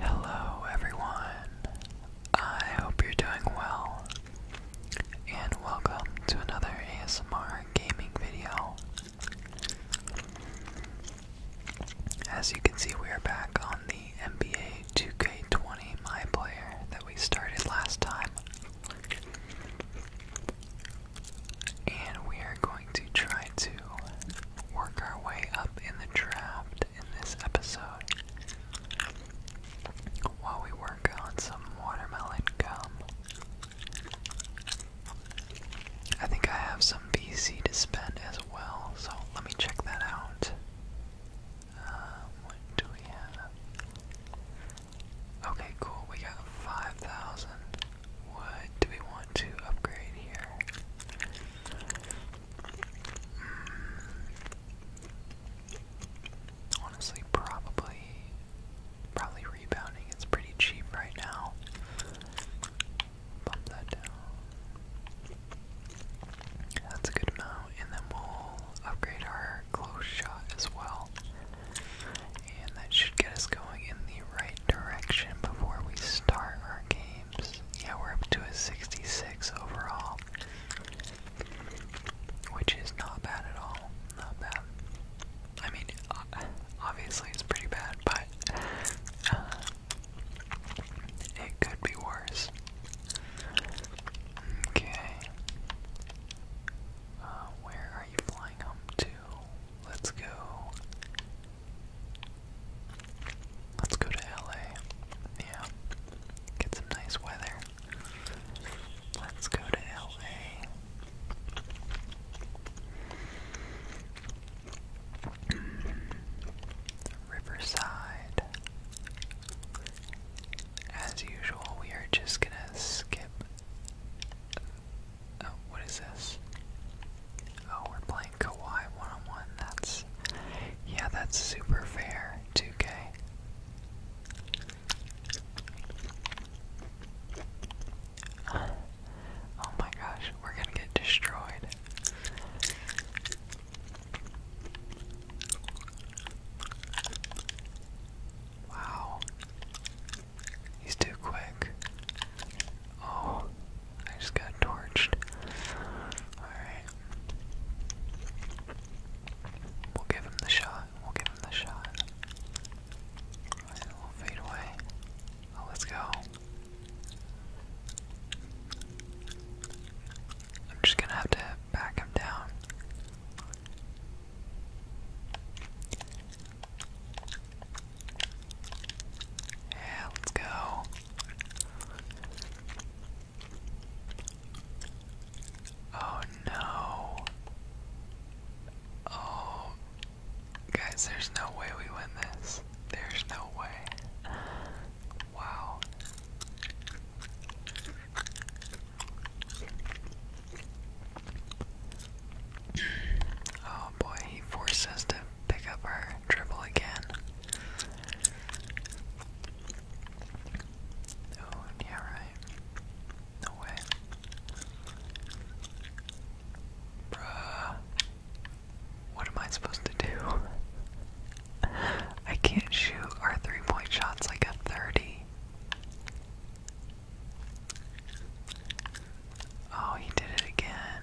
Hello, everyone. I hope you're doing well, and welcome to another ASMR gaming video. As you can see, we are back on the the NBA 2K20 My Player that we started last time. And we are going to try to work our way up in the draft in this episode while we work on some watermelon gum. I think I have some BC to spend as well, so let me check that out. Um, what do we have? Okay, cool. We got 5,000. What do we want to upgrade here? Hmm. Honestly, probably, probably rebounding. It's pretty cheap right now. Bump that down. That's a good amount, and then we'll upgrade our close shot as well. And that should get us going in the right direction before we start our games. Yeah, we're up to a 66 overall, which is not bad at all. Not bad. I mean, obviously it's pretty bad, but uh, it could be worse. Okay. Uh, where are you flying home to? Let's go. Let's go to LA. Yeah. Get some nice weather. Let's go to LA. Riverside as usual, we are just gonna skip. Oh, what is this? Oh, we're playing Kawhi one on one. That's. Yeah, that's super fair, 2K. Oh my gosh, we're gonna get destroyed. Wow. He's too quick. Oh, I just got torched. Alright. We'll give him the shot. We'll give him the shot. Alright, we'll fade away. Oh, let's go. I'm just gonna have to back him down. Yeah, let's go. Oh no. Oh. Guys, there's no way we win this. There's no way. Wow. Oh boy, he forced to pick up our dribble again. Oh, yeah, right. No way. Bruh. What am I supposed to do? I can't shoot our three point shots like a 30. Oh, he did it again.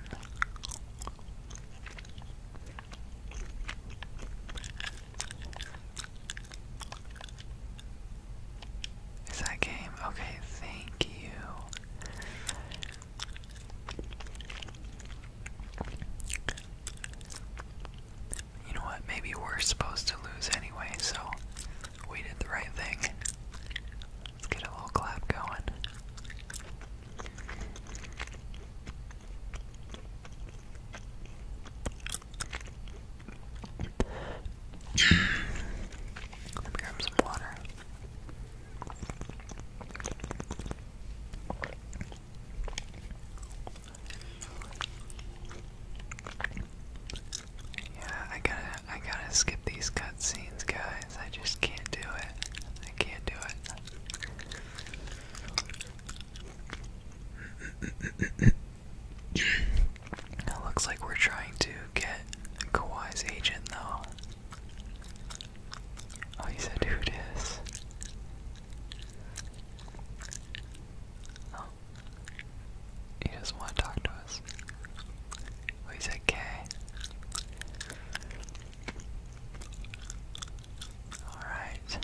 Is that game? Okay, thank you. You know what? Maybe we're supposed to lose anyway, so we did the right thing. Let's get a little clap going. Let me grab some water. Yeah, I gotta, I gotta skip these cutscenes, guys. I just can't do it. I can't do it. it looks like we're trying to get Kawhi's agent, though. Oh, you said who dis? Oh. He doesn't want to talk to us. Oh, he said K. Alright.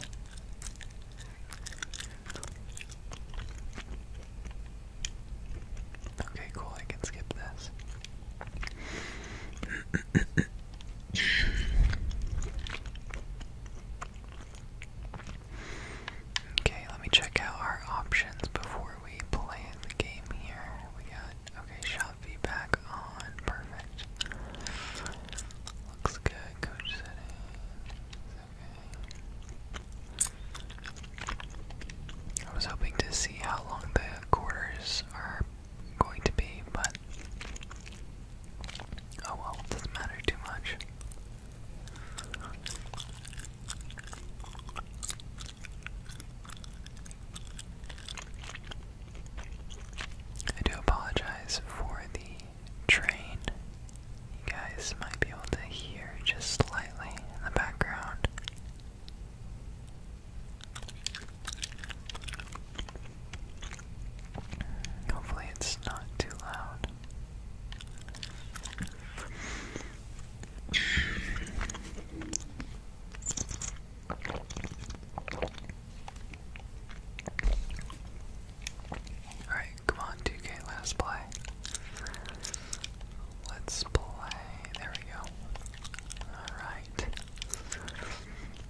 Okay, cool, I can skip this. Okay, let me check out our options before we play the game here. We got, okay, shop feedback on, perfect. Looks good, coach I was hoping to see how long the quarters are going to be, but but oh well, doesn't matter too much. I do apologize for the train. You guys might be able to hear just slightly in the background. Hopefully, it's not too loud. Alright, come on, 2K, let play. Let's play. There we go. Alright.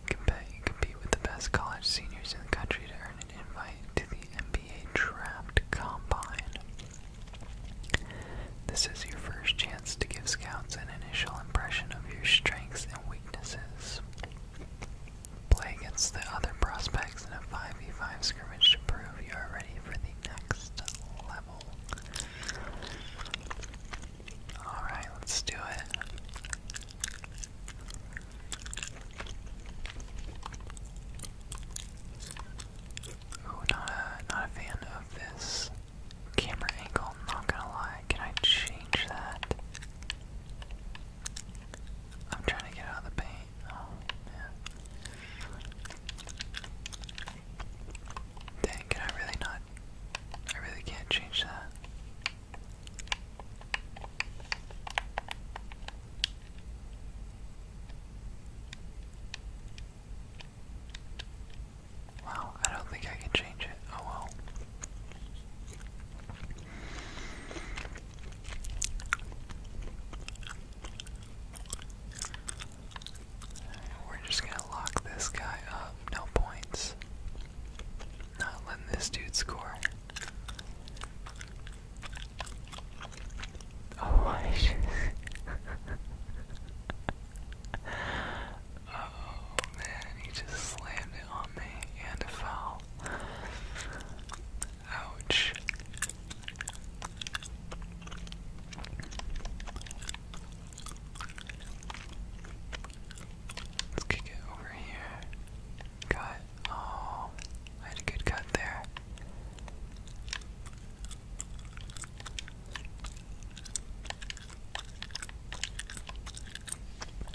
Compete, compete with the best college seniors in the country to earn an invite to the NBA Draft Combine. This is your first chance to give scouts an initial impression of your strengths and weaknesses. Play against the other prospects in a 5v5 scrimmage to prove you are ready for the next level. Alright, let's do it. Ooh, not a not a fan of this camera angle, not gonna lie. Can I change that? I'm trying to get out of the paint. Oh man. Dang, can I really not I really can't change that. Wow, I don't think I can change it. Oh well. We're just gonna lock this guy up no points. Not letting this dude score. Oh my Oh man, he just slammed it on me and a Ouch. Let's kick it over here. Cut. Oh, I had a good cut there.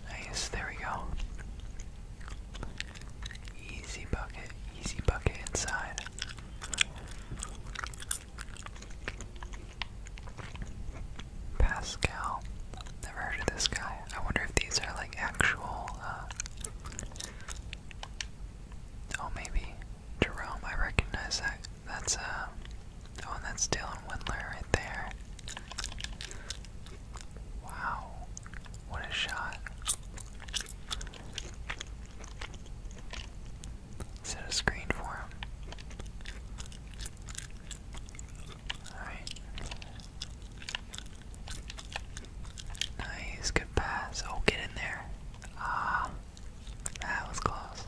Nice, there we go. Easy bucket, easy bucket inside. Pascal. Never heard of this guy. I wonder if these are like actual, uh, Oh, maybe. Jerome, I recognize that. That's, uh. Oh, that's Dylan Windler there. Wow. What a shot set a screen for him. Alright. Nice, good pass. Oh, get in there. Ah, that was close.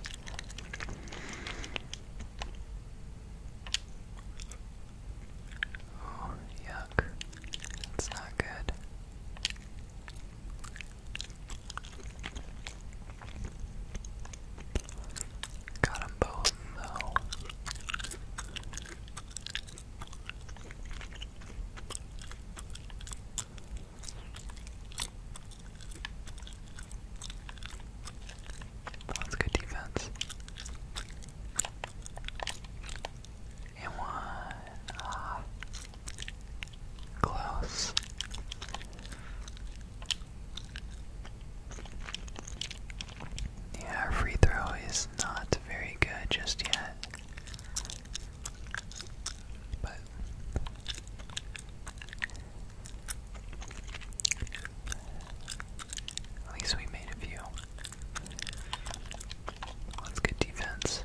Oh, yuck. That's not good. Got them both, though. That's good defense. And one. Ah. Close. Yeah, our free throw is not very good just yet. But at least we made a few. That's good defense.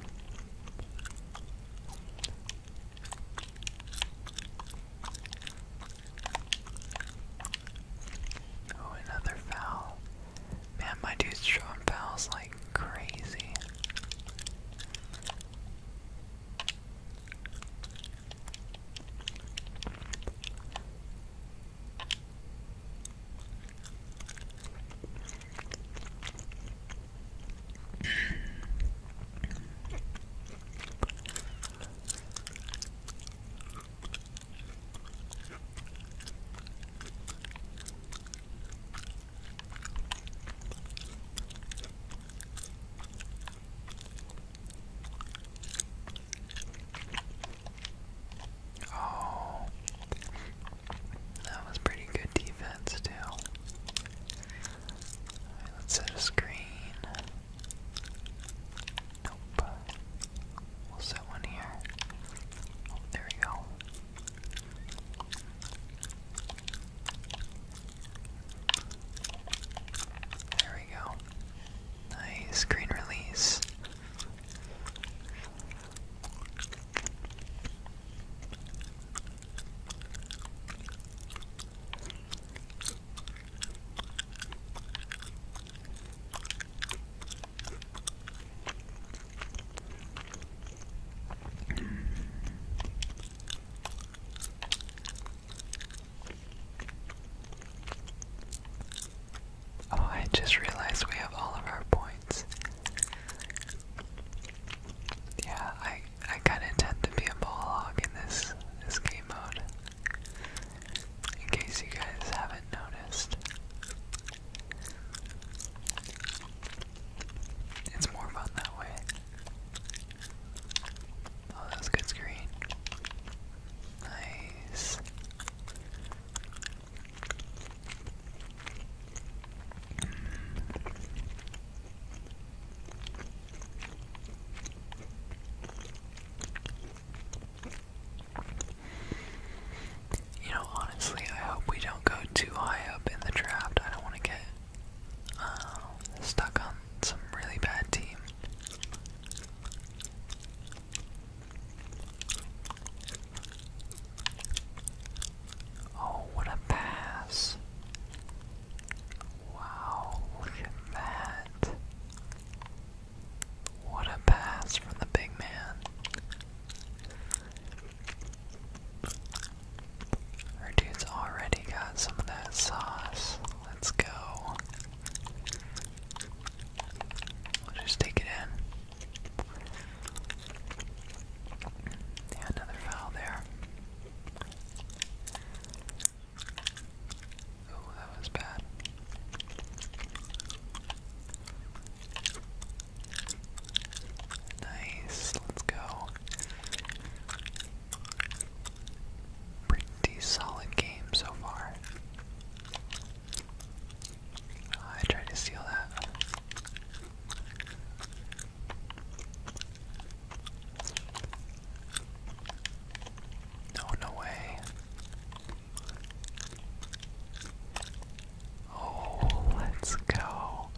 Oh, another foul. Man, my dude's showing fouls like crazy. Oh, that was pretty good defense, too let's set a screen. Nope. We'll set one here. Oh, there we go. There we go. Nice screen release. Oh, I just realized we have all of our points. Yeah, I I kind of tend to be a ball hog in this this game mode. In case you guys haven't noticed, it's more fun that way. Oh, that's good screen. Nice. You know, honestly, I hope we don't go too high up in the draft. I don't want to get uh, stuck on some really bad team. Oh, what a pass! Wow, look at that. What a pass from the big man. Our dude's already got some of that sauce. Let's go. just take it in. another foul there. Oh, that was bad. Nice, let's go. Pretty solid game so far. Oh, I tried to steal that. No, no way. Oh, let's go.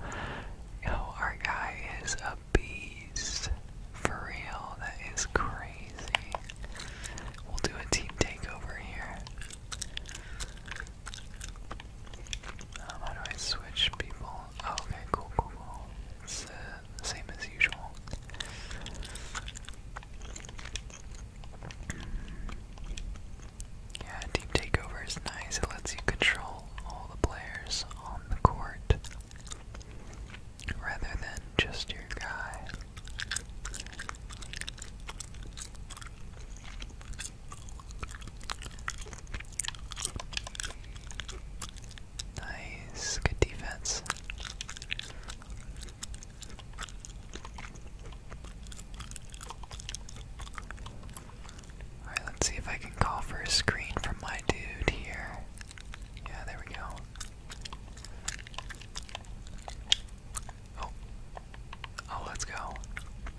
Yo, our guy is a beast. For real, that is crazy. We'll do a team takeover here. Um, how do I switch people? Oh, okay, cool, cool, cool. It's the same as usual. Yeah, team takeover is nice. It lets you control all the players on the court rather than just your guy. Nice, good defense. Alright, let's see if I can call for a screen from my dude here. Yeah, there we go. Oh. Oh, let's go.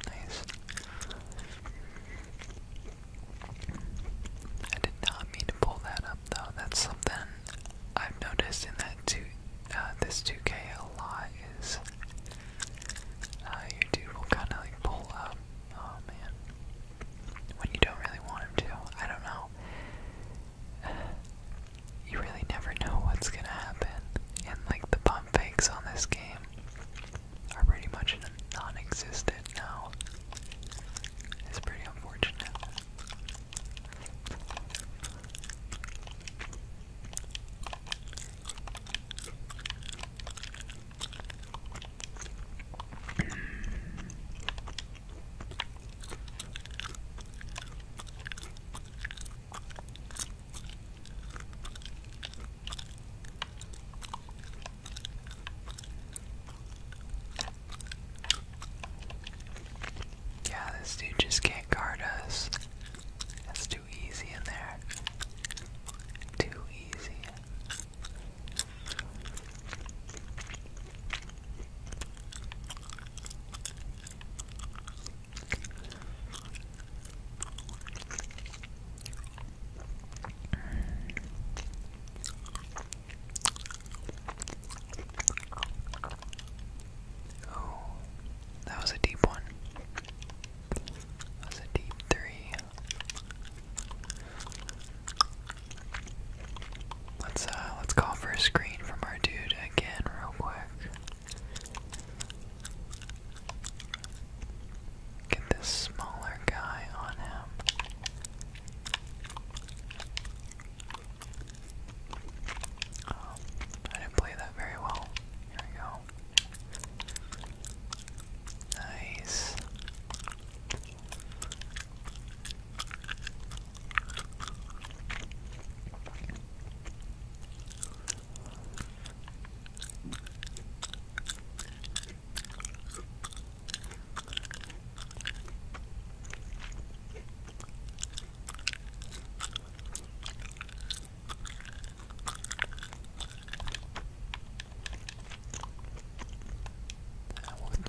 Nice. I did not mean to pull that up though. That's something I've noticed in that two, uh, this 2K a lot is uh, YouTube will kind of like pull up. Oh man, when you don't really want him to. I don't know. you really never know what's gonna happen, and like the pump fakes on this game are pretty much non-existent now. It's pretty unfortunate. Yeah, this dude just can't guard us. That's too easy in there. Too easy. Oh, that was a deep one. That a deep three. Let's uh let's call for a screen from our dude again real quick. Get this smaller guy on him. Oh, I didn't play that very well. Here we go. Nice.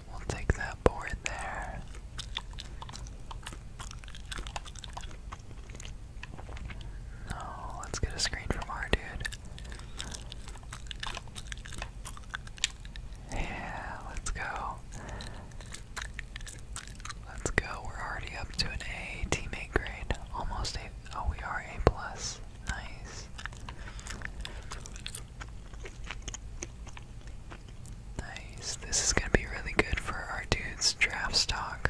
We'll, take that board there. No, oh, let's get a screen from our dude. Yeah, let's go. Let's go. We're already up to an A teammate grade. Almost A. Oh, we are A plus. Nice. Nice. This is gonna be really good for our dude's draft stock.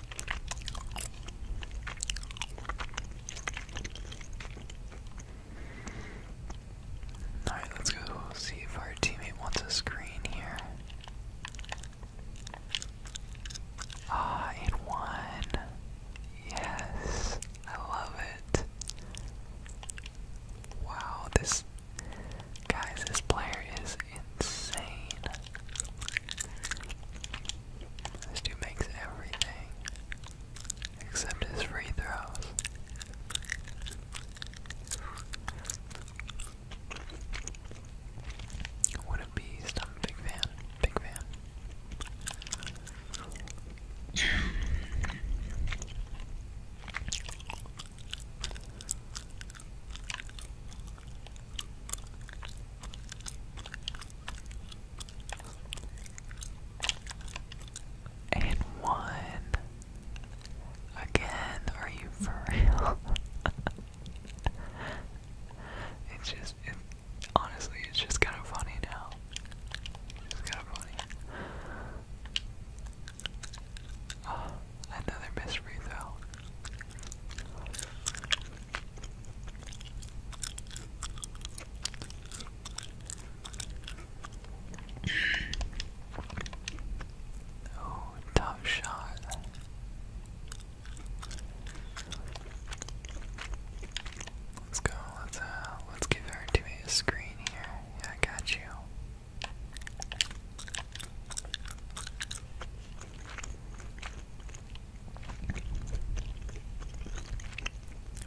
Alright, let's go see if our teammate wants a screen here. Ah, and one. Yes, I love it. Wow, this guys, this player is insane. This dude makes everything except his free throws. What a beast. I'm a big fan. Big fan. And one. Again, are you for real? it's just, it, honestly, it's just kind of funny now. just kind of funny. Oh, another mystery, though. Oh, tough shot. Let's go. Let's uh let's give our teammate a screen here. Yeah, I got you.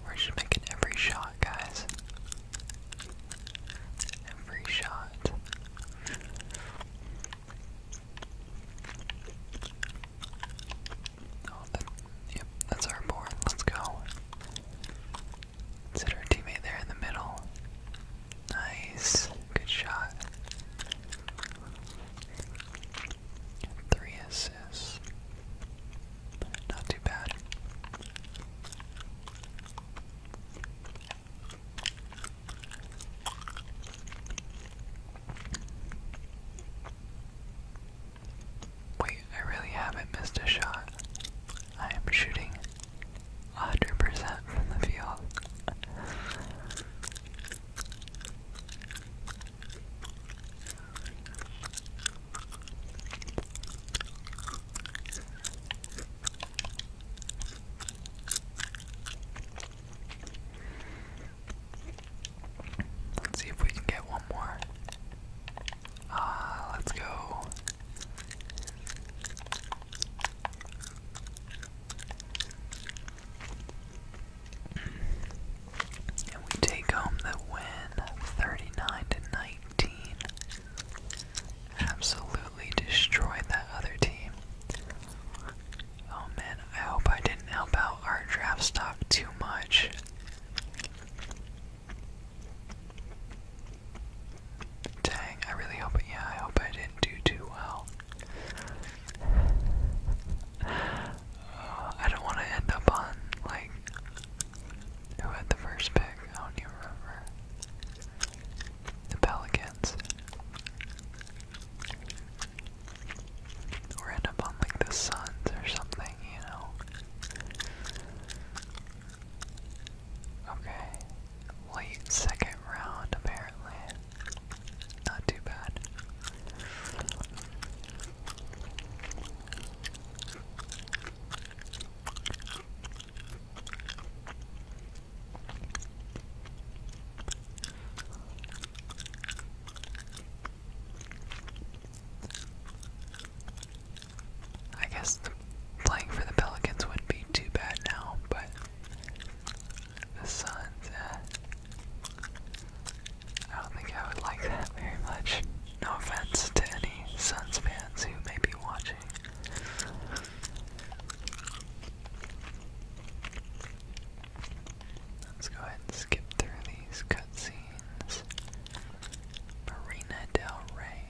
We're just making every shot, guys. Every shot. Oh, yep, that's our board. Let's go. let our teammate there in the middle. Nice. Good shot. Three assists. Not too bad. Wait, I really haven't missed a shot. I am shooting 100% from the field. Let's see if we can get one more. Ah, uh, let's go. And we take home the win 39 to 19. Absolutely destroyed that other team. Oh man, I hope I didn't help out our draft stock too much. Dang, I really hope, yeah, I hope I didn't do too well. I don't want to end up on, like, who had the first pick? I don't remember. The Pelicans. Or end up on, like, the Suns or something, you know? Okay. Late second round, apparently. Not too bad. I guess playing for the Pelicans wouldn't be too bad now, but the sun's at. I don't think I would like that very much. No offense to any Suns fans who may be watching. Let's go ahead and skip through these cutscenes. Marina Del Rey.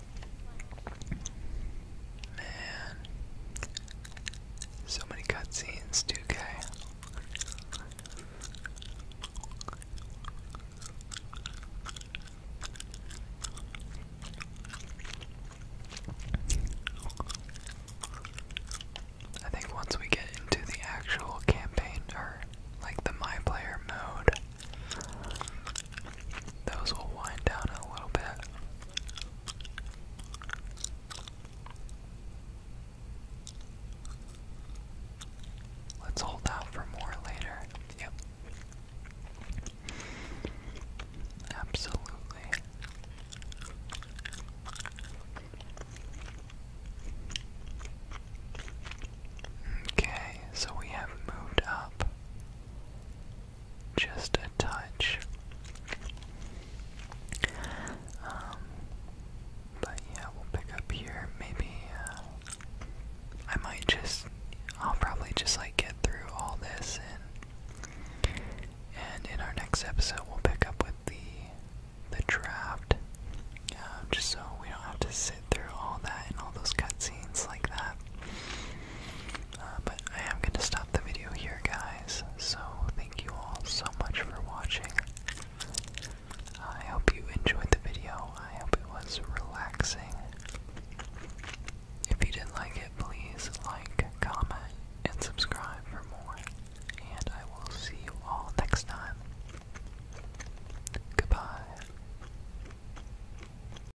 Man. So many cutscenes, 2K. I think once we get into the actual campaign, or like the my player mode, those will wind down a little bit. Let's hold out for more later. Yep. Absolutely. Okay, so we have moved up just a touch. Um, but yeah, we'll pick up here. Maybe uh, I might just, I'll probably just like get through all this and and in our next episode we'll pick up with the the draft. Um, just so we don't have to sit through all that and all those cutscenes like that. Uh, but I am going to stop the video here, guys. So thank you all so much for watching. I hope you enjoyed the video. I hope it was relaxing. If you did not like it, please like, comment, and subscribe for more. And I will see you all next time. Goodbye.